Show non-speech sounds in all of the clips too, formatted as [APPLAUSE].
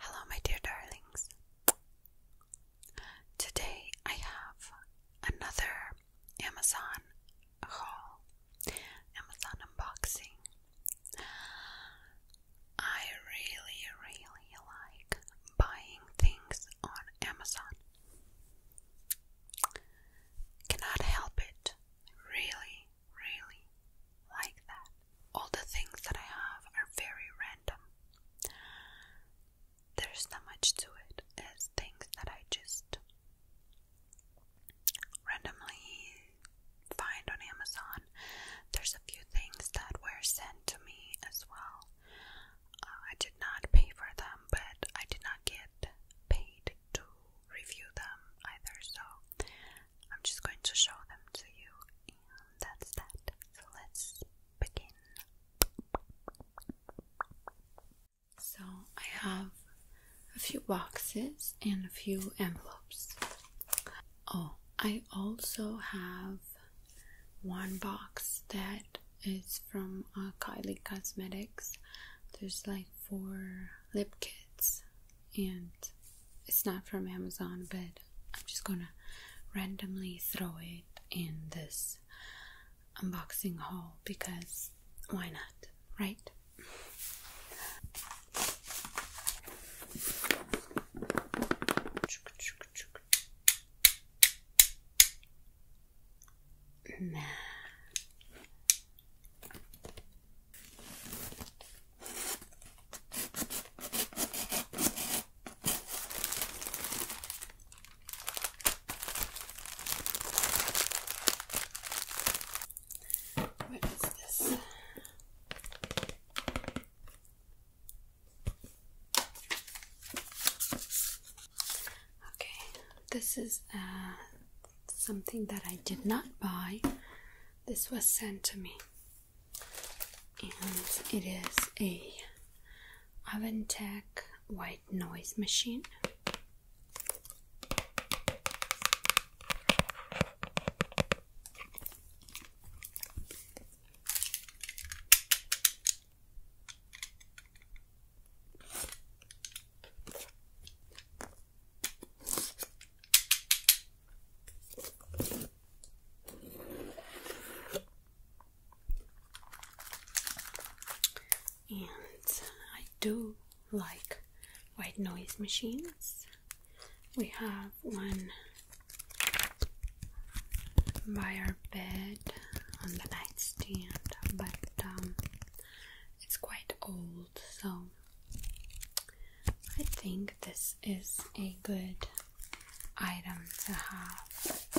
Hello, my dear darlings. Today I have another Amazon haul, Amazon unboxing. I really, really like buying things on Amazon. Cannot help it. Really, really like that. All the things that I have are very random there's not much to it. It's things that I just randomly find on Amazon. There's a few things that were sent to me as well. Uh, I did not pay for them, but I did not get paid to review them either, so I'm just going to show them to you, and that's that. So let's begin. So I have a few boxes and a few envelopes. Oh, I also have one box that is from uh, Kylie Cosmetics. There's like four lip kits, and it's not from Amazon, but I'm just gonna randomly throw it in this unboxing haul because why not, right? Nah. What is this? Okay, this is uh, something that I did not buy. This was sent to me, and it is a Aventec white noise machine and I do like white noise machines. We have one by our bed on the nightstand, but um, it's quite old, so I think this is a good item to have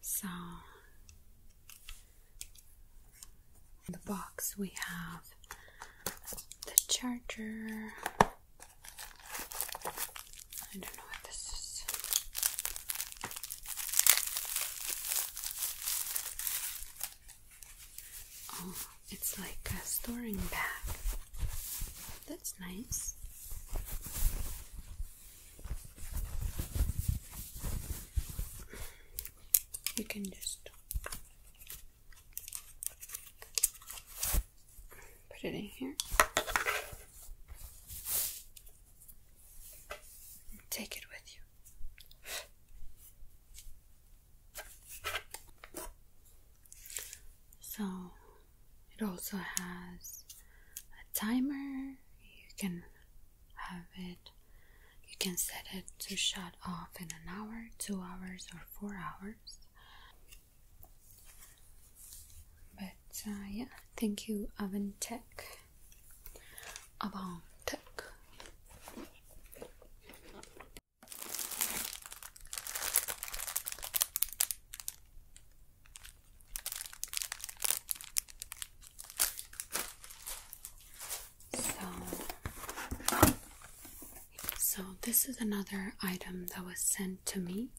So, in the box we have the charger. I don't know what this is. Oh, it's like a storing bag. That's nice you can just put it in here. Take it with you. So it also has a timer. You can have it. You can set it to shut off in an hour, two hours, or four hours. But uh, yeah, thank you, Oven Tech. Oven Tech. So, so this is another item that was sent to me,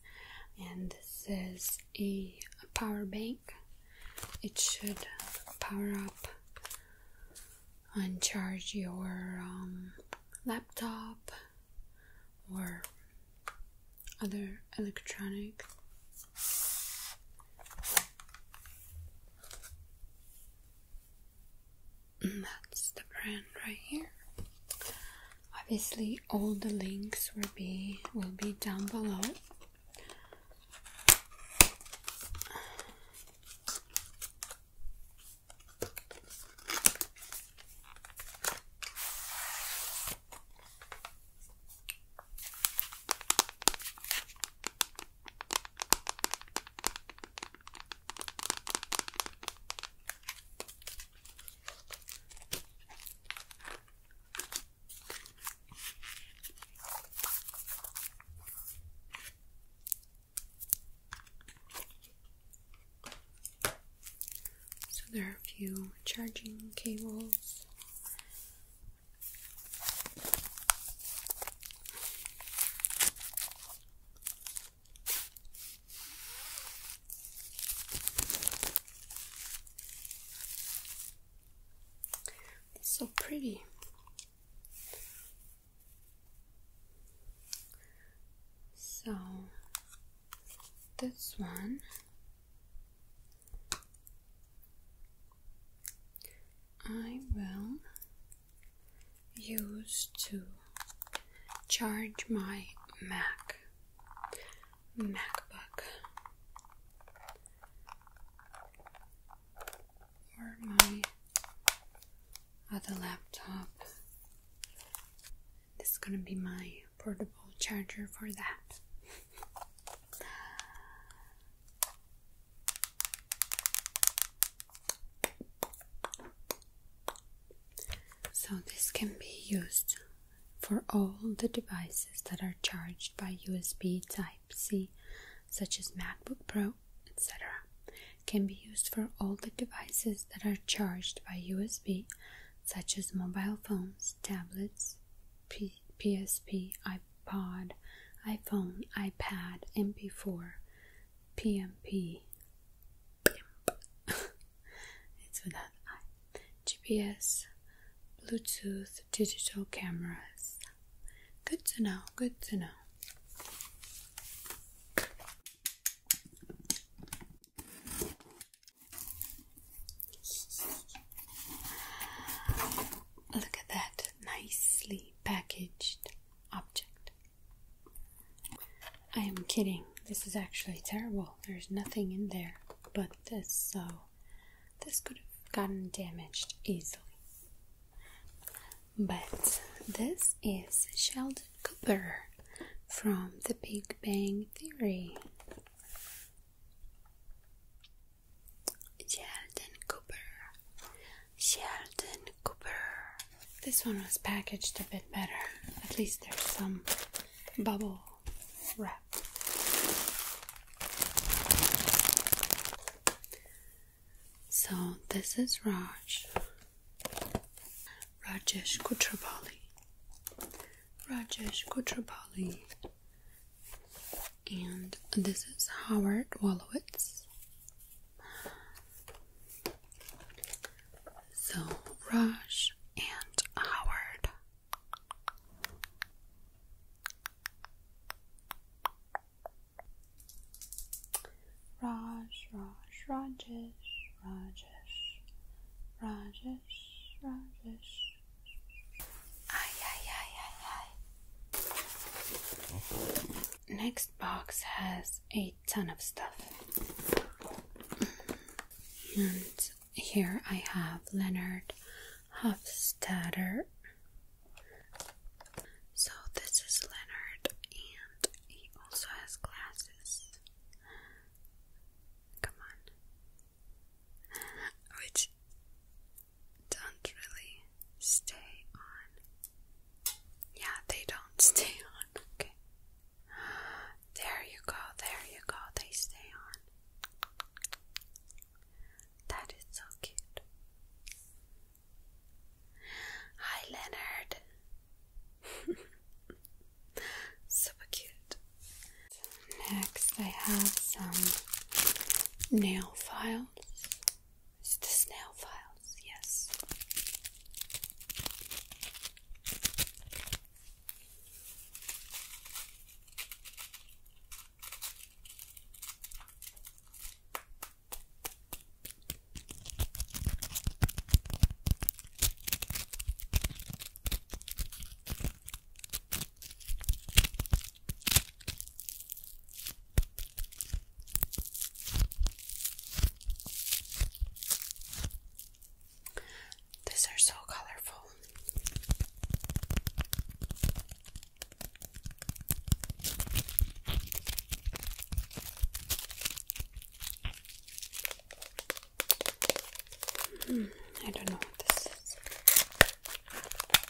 and this is a, power bank. It should power up and charge your um, laptop or other electronic mm, that's the brand right here obviously all the links will be will be down below so there are a few charging cables so pretty. So this one I will use to charge my Mac MacBook or my other laptop. This is gonna be my portable charger for that. [LAUGHS] So, this can be used for all the devices that are charged by USB Type C, such as MacBook Pro, etc. Can be used for all the devices that are charged by USB, such as mobile phones, tablets, PC, PSP, iPod, iPhone, iPad, MP4, PMP. [LAUGHS] it's without I. GPS, Bluetooth, digital cameras. Good to know, good to know. Look at that nicely packaged object. I am kidding. This is actually terrible. There's nothing in there but this, so this could have gotten damaged easily. But this is Sheldon Cooper from The Big Bang Theory. Sheldon Cooper. Sheldon Cooper. This one was packaged a bit better. At least there's some bubble wrap. So this is Raj. Rajesh Kutrapali. Rajesh Kutrapali and this is Howard Wolowitz. So, Rush and Howard. Raj, Raj, Rajesh, Rajesh, Rajesh, Rajesh. Ay, ay, ay, ay, ay. Next box has a ton of stuff. And here I have Leonard Hofstadter. So this is Leonard, and he also has glasses. Come on which don't really stay on. Yeah, they don't [LAUGHS] stay on. Okay. There you go, there you go, they stay on. That is so cute. Hi, Leonard. [LAUGHS] Super cute. Next, I have some nail files. Is this nail files? Yes. These are so colorful. Mm, I don't know what this is. [LAUGHS]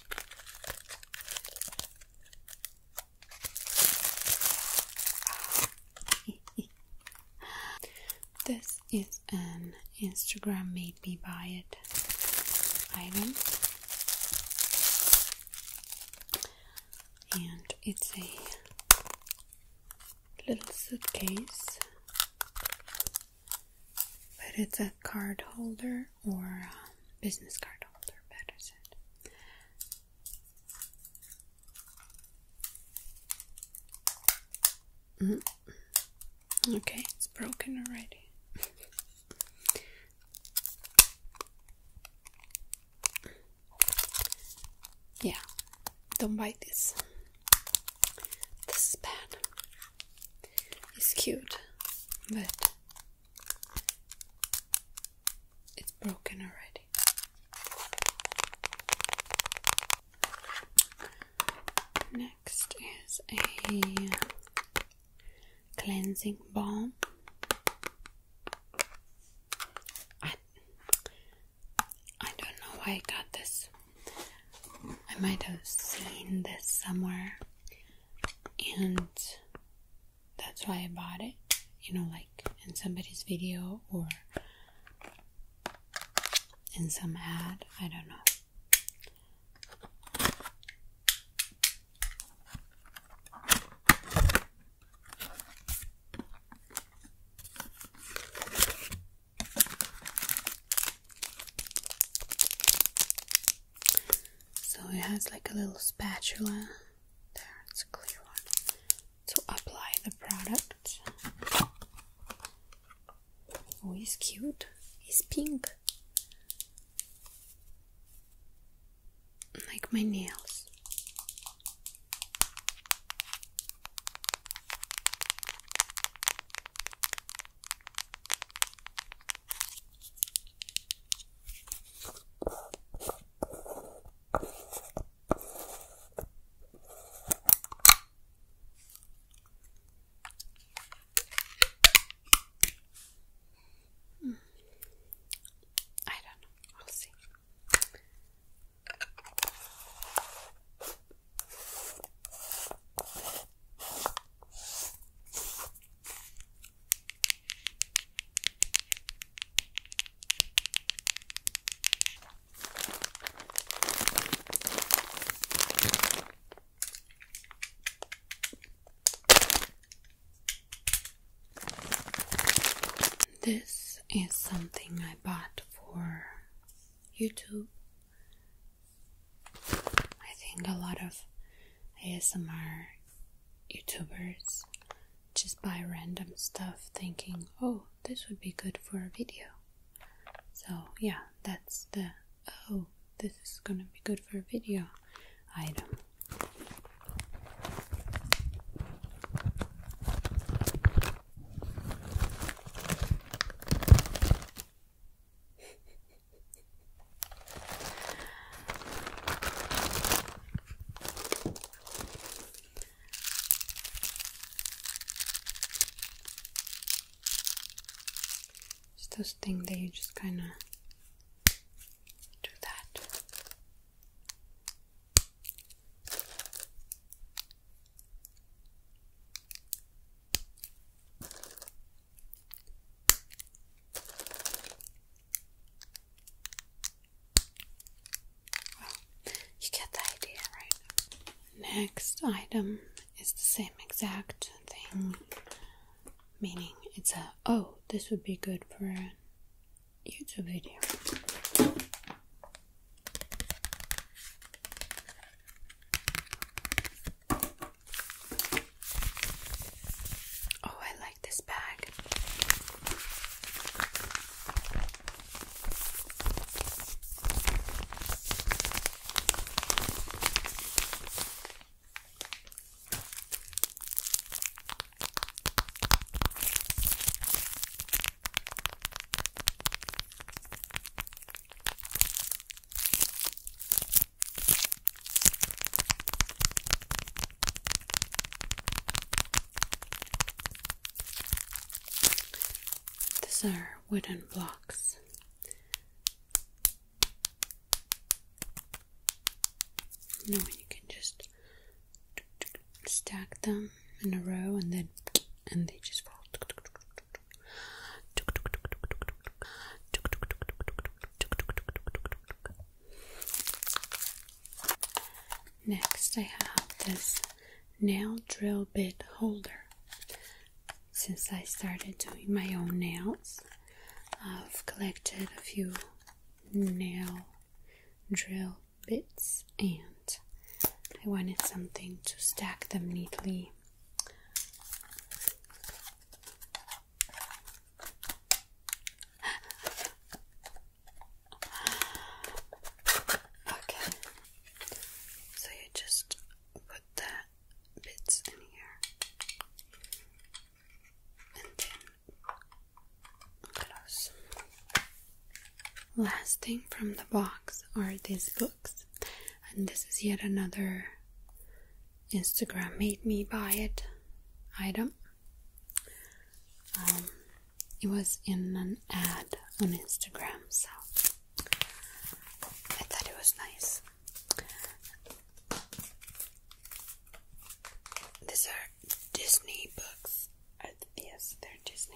this is an Instagram made me buy it item and it's a little suitcase but it's a card holder or um, business card holder, better said. Mm-hmm. Okay, it's broken already. [LAUGHS] yeah, don't bite this. This is bad. It's cute, but it's broken already. Next is a cleansing balm. I, I don't know why I got this. I might have seen this somewhere and that's why I bought it. You know, like in somebody's video or in some ad, I don't know. So it has like a little spatula. There, it's a clear one. To apply the product. Oh, he's cute. He's pink. Like my nails. Hmm. I don't know. We'll see. This is something I bought for YouTube I think a lot of ASMR YouTubers just buy random stuff thinking, oh, this would be good for a video. So, yeah, that's the oh, this is gonna be good for a video item. It's those thing that you just kind of do that you get the idea, right? Next item is the same exact thing, meaning it's a oh, this would be good for a YouTube video. Oh, I like this bag. These are wooden blocks. You you can just stack them in a row and then and they just fall. Next, I have this nail drill bit holder. Since I started doing my own nails, I've collected a few nail drill bits and I wanted something to stack them neatly Okay, so you just put the bits in here and then close. Last thing from the box are these books, and this is yet another Instagram made me buy it item. Um, it was in an ad on Instagram, so I thought it was nice. These are Disney books. Uh, yes, they're Disney.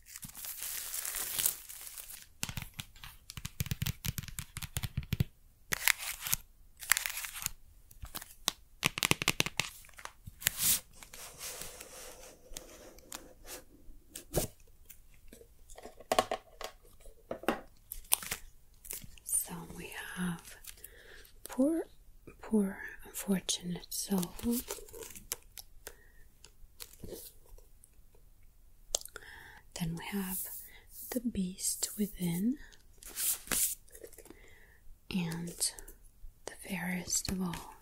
So we have poor, poor, unfortunate soul. Then we have the beast within and the fairest of all.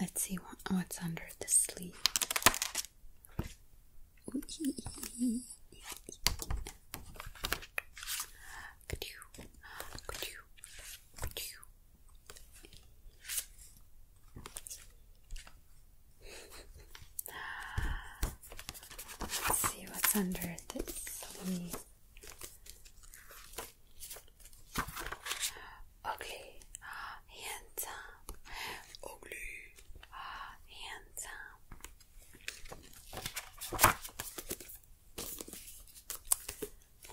Let's see what's under the sleeve. could you, could you, Let's see what's under this. Ugly. Ugly. Handsome. Ugly. Ah, handsome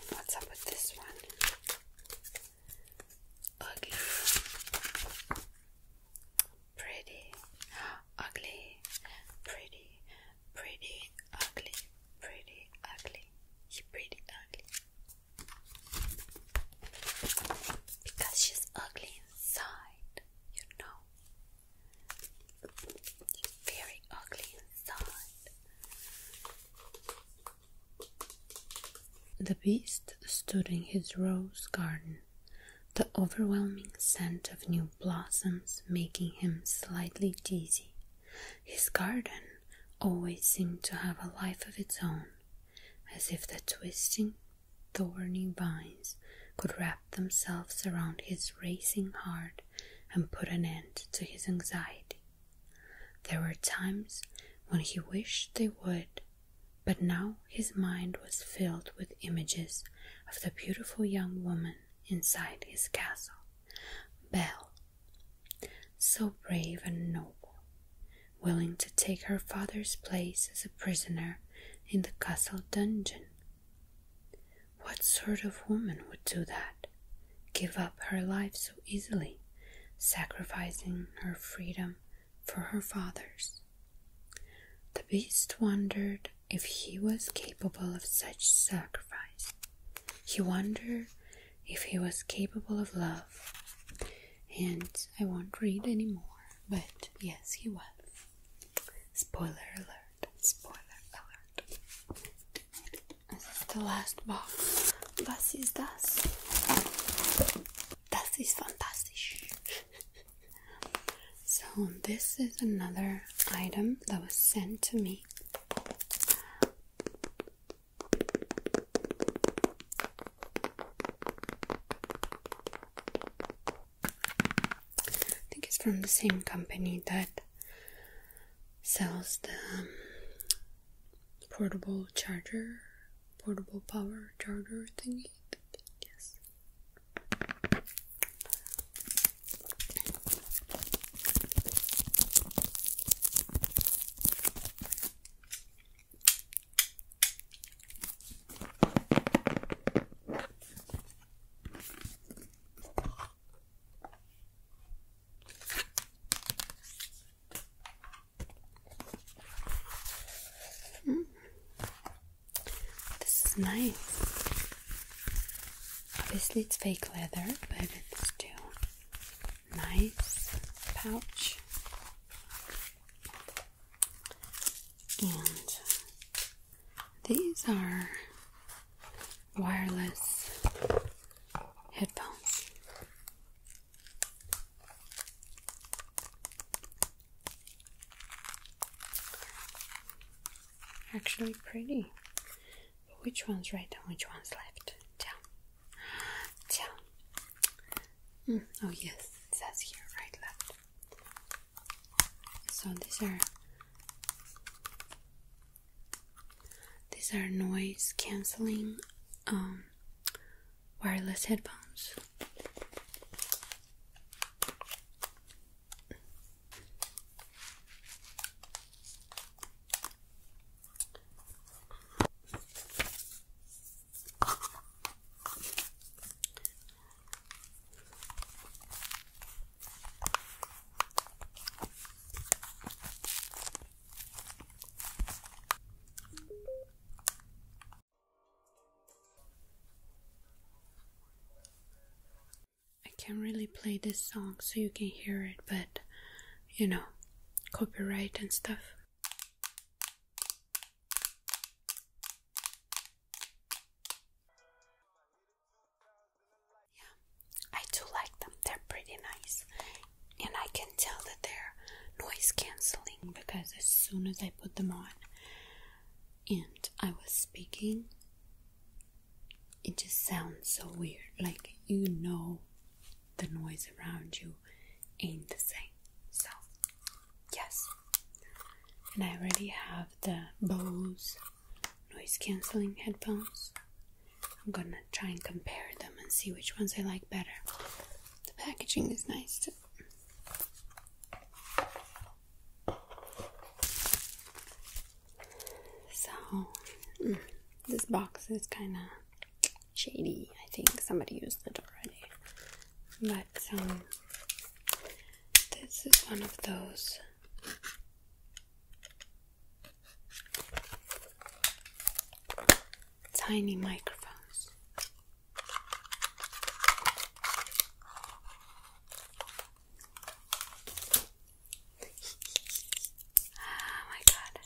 what's up with this one? Ugly. Pretty. Ugly. Pretty. Pretty. Ugly. Pretty. Ugly. pretty ugly. Because she's ugly inside, you know. Very ugly inside side. The beast stood in his rose garden, the overwhelming scent of new blossoms making him slightly dizzy. His garden always seemed to have a life of its own, as if the twisting, thorny vines could wrap themselves around his racing heart and put an end to his anxiety. There were times when he wished they would, but now his mind was filled with images of the beautiful young woman inside his castle, Belle, so brave and noble, willing to take her father's place as a prisoner in the castle dungeon. What sort of woman would do that? Give up her life so easily, sacrificing her freedom for her father's. The beast wondered if he was capable of such sacrifice. He wondered if he was capable of love. And I won't read anymore, but yes, he was. Spoiler alert, spoiler alert. This is the last box. Was this? das? Das ist [LAUGHS] so, this is another item that was sent to me. I think it's from the same company that sells the um, portable charger, portable power charger thingy. Yes. This is nice. Obviously, it's fake leather, but it's still nice pouch. And these are wireless headphones. Actually, pretty. which one's right and which one's left? Tell. Tell. Mm, oh, yes, it says here right, left. So these are these are noise canceling um, wireless headphones. I can really play this song so you can hear it, but you know, copyright and stuff. Yeah, I do like them. They're pretty nice. And I can tell that they're noise canceling because as soon as I put them on and I was speaking, it just sounds so weird. Like you know, the noise around you ain't the same. So, yes. And I already have the Bose noise canceling headphones. I'm gonna try and compare them and see which ones I like better. The packaging is nice So, mm, this box is kind of shady. I think somebody used it already. But um, this is one of those Tiny microphones. oh my god,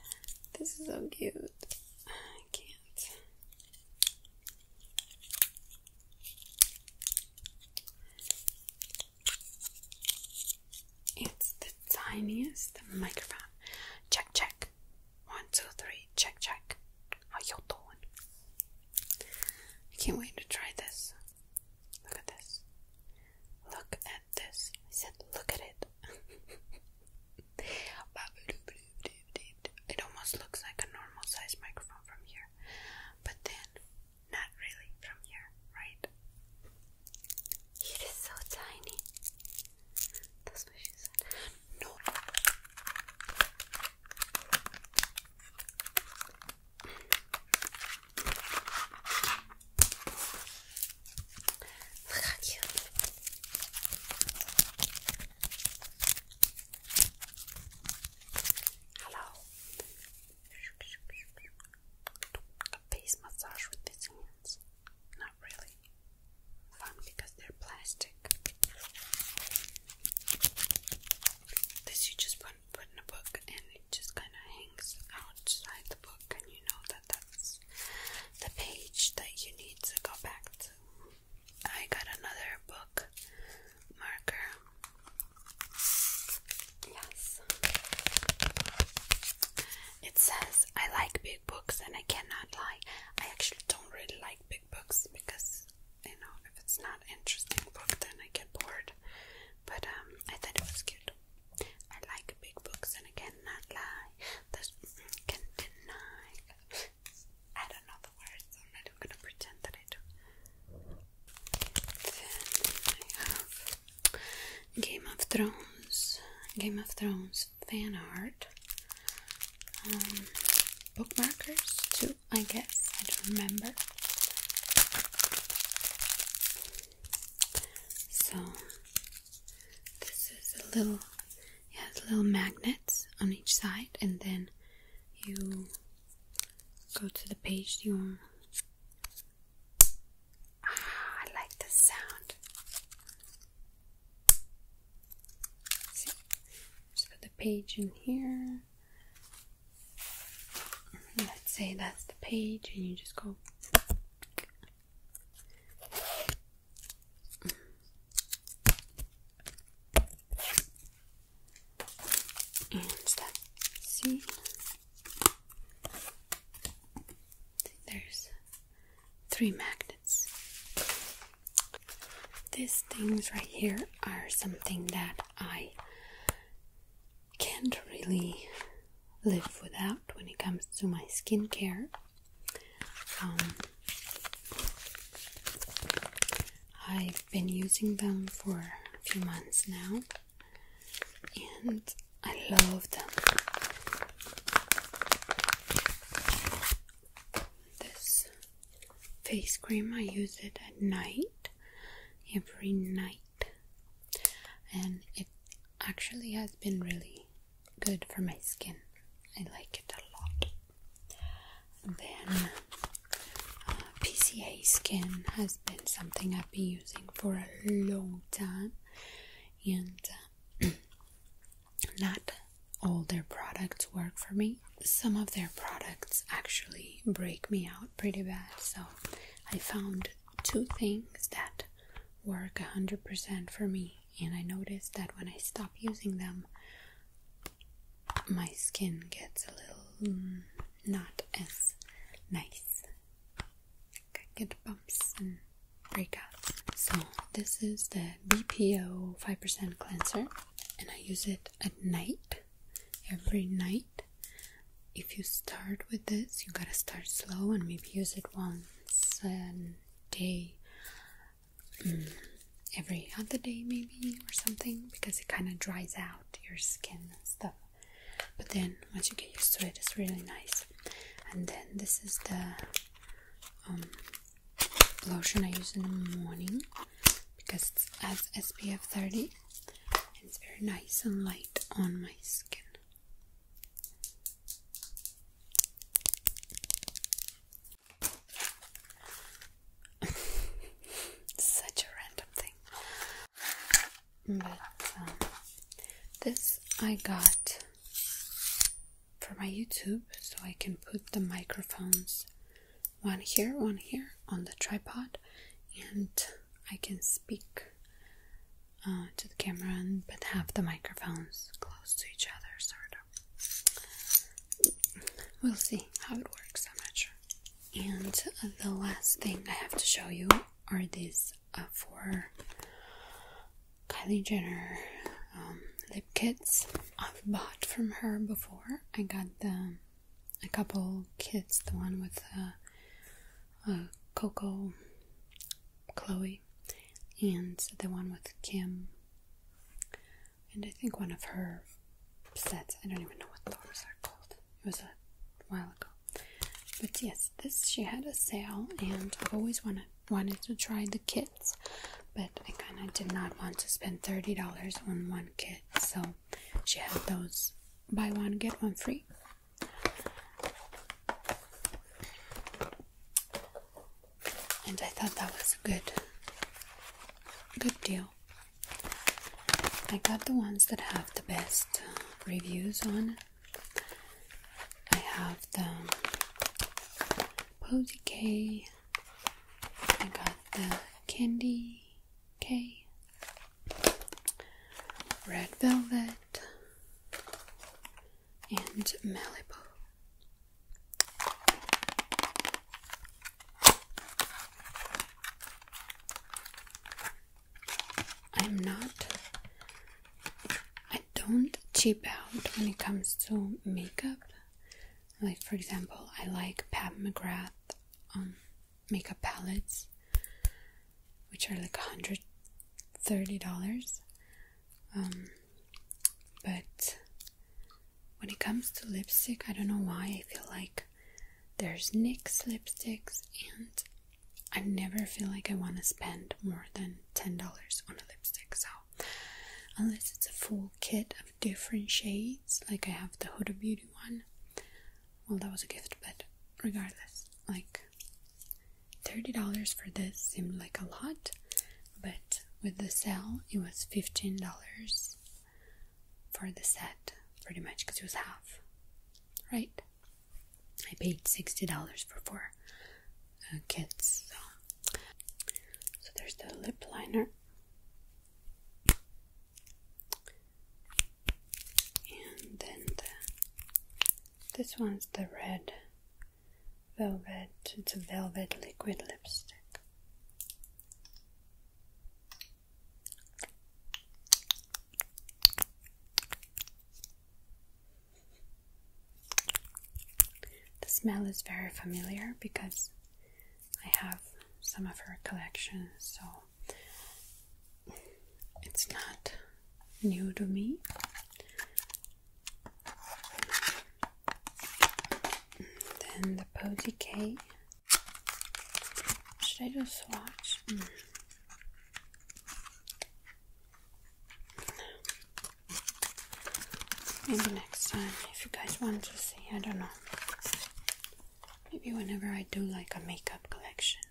this is so cute. I can't. It's the tiniest microphone. Check, check. One, two, three. Check, check. How you doing? I can't wait to try this. Look at this. Look at this. I said, look at it. [LAUGHS] it almost looks like a normal size microphone from here, but then not really from here, right? It is so tiny. That's what she said. No. Hello. face massage with this not really fun because they're plastic. This you just put, put in a book and it just kind of hangs outside the book, and you know that that's the page that you need to go back to. I got another book marker. Yes. It says, I like big books and I cannot lie. I actually don't really like big books because, you know, if it's not an interesting book, then I get bored. But um, I thought it was cute. I like big books and I cannot lie. There's, can deny. I don't know the words, so I'm not even gonna pretend that I do. Then I have Game of Thrones, Game of Thrones fan art, um, bookmarkers too, I guess. I don't remember. So this is a little, it has little magnets on each side, and then you go to the page you Ah, I like the sound. See, just put the page in here. Mm-hmm, let's say that's the page, and you just go. Mm-hmm. And that, see, there's three magnets. These things right here are something that I can't really live without when it comes to my skincare. Um, I've been using them for a few months now, and I love them. This face cream I use it at night, every night, and it actually has been really good for my skin. I like it a lot. then uh, PCA skin has been something I've been using for a long time, and. Uh, [CLEARS THROAT] not all their products work for me. Some of their products actually break me out pretty bad, so I found two things that work 100% for me, and I noticed that when I stop using them, my skin gets a little mm, not as nice. I get bumps and breakout. So, this is the BPO 5% cleanser, and I use it at night, every night. If you start with this, you gotta start slow and maybe use it once a day, mm, every other day, maybe, or something, because it kind of dries out your skin and stuff. But then once you get used to it, it's really nice. And then this is the um, lotion I use in the morning because it has SPF 30 it's very nice and light on my skin. [LAUGHS] Such a random thing. But um, this I got for my YouTube so I can put the microphones one here, one here on the tripod and I can speak uh, to the camera and but have the microphones close to each other sort of we'll see how it works I'm not sure and the last thing I have to show you are these uh, for. Kylie Jenner um, lip kits. I've bought from her before. I got the a couple kits, the one with uh, uh, Coco, Chloe, and the one with Kim, and I think one of her sets. I don't even know what the others are called. It was a while ago, but yes, this. she had a sale, and I've always wanted wanted to try the kits, but I kind of did not want to spend thirty dollars on one kit, so she had those buy one get one free. And I thought that was a good, good deal. I got the ones that have the best reviews on I have the posy K. I got the candy K. red velvet, and Malibu. I'm not don't cheap out when it comes to makeup. Like for example, I like Pat McGrath um, makeup palettes, which are like hundred thirty dollars. Um, but when it comes to lipstick, I don't know why I feel like there's NYX lipsticks and I never feel like I want to spend more than $10 on a lipstick. So, unless it's a full kit of different shades, like I have the Huda Beauty one, well, that was a gift, but regardless, like $30 for this seemed like a lot, but with the sale, it was $15 for the set, pretty much, because it was half, right? I paid $60 for four uh, kits. So. so there's the lip liner. And then this one's the red velvet, it's a velvet liquid lipstick. The smell is very familiar because I have some of her collection, so it's not new to me. Then the Posy K. Should I do a swatch? Mm. Maybe next time, if you guys want to see, I don't know. Maybe whenever I do like a makeup collection,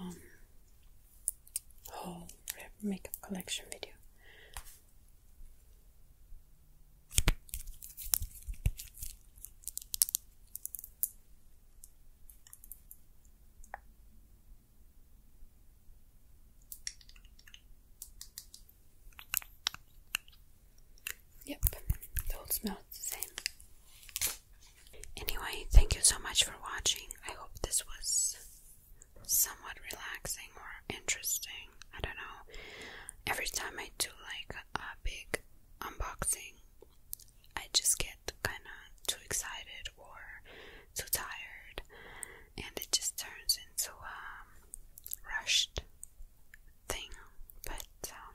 um, whole makeup collection video. Yep, it all smells the same. Anyway, thank you so much for watching. I hope this was somewhat relaxing or interesting. I don't know. Every time I do like a big unboxing, I just get kind of too excited or too tired, and it just turns into a um, rushed thing. But um,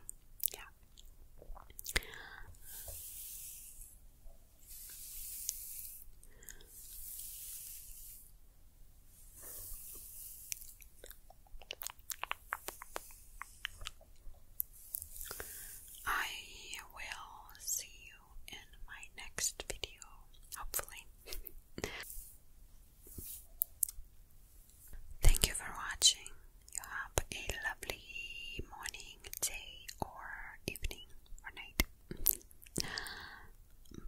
yeah. I will see you in my next video, hopefully. Thank you for watching. You have a lovely morning, day, or evening, or night.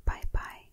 Bye bye.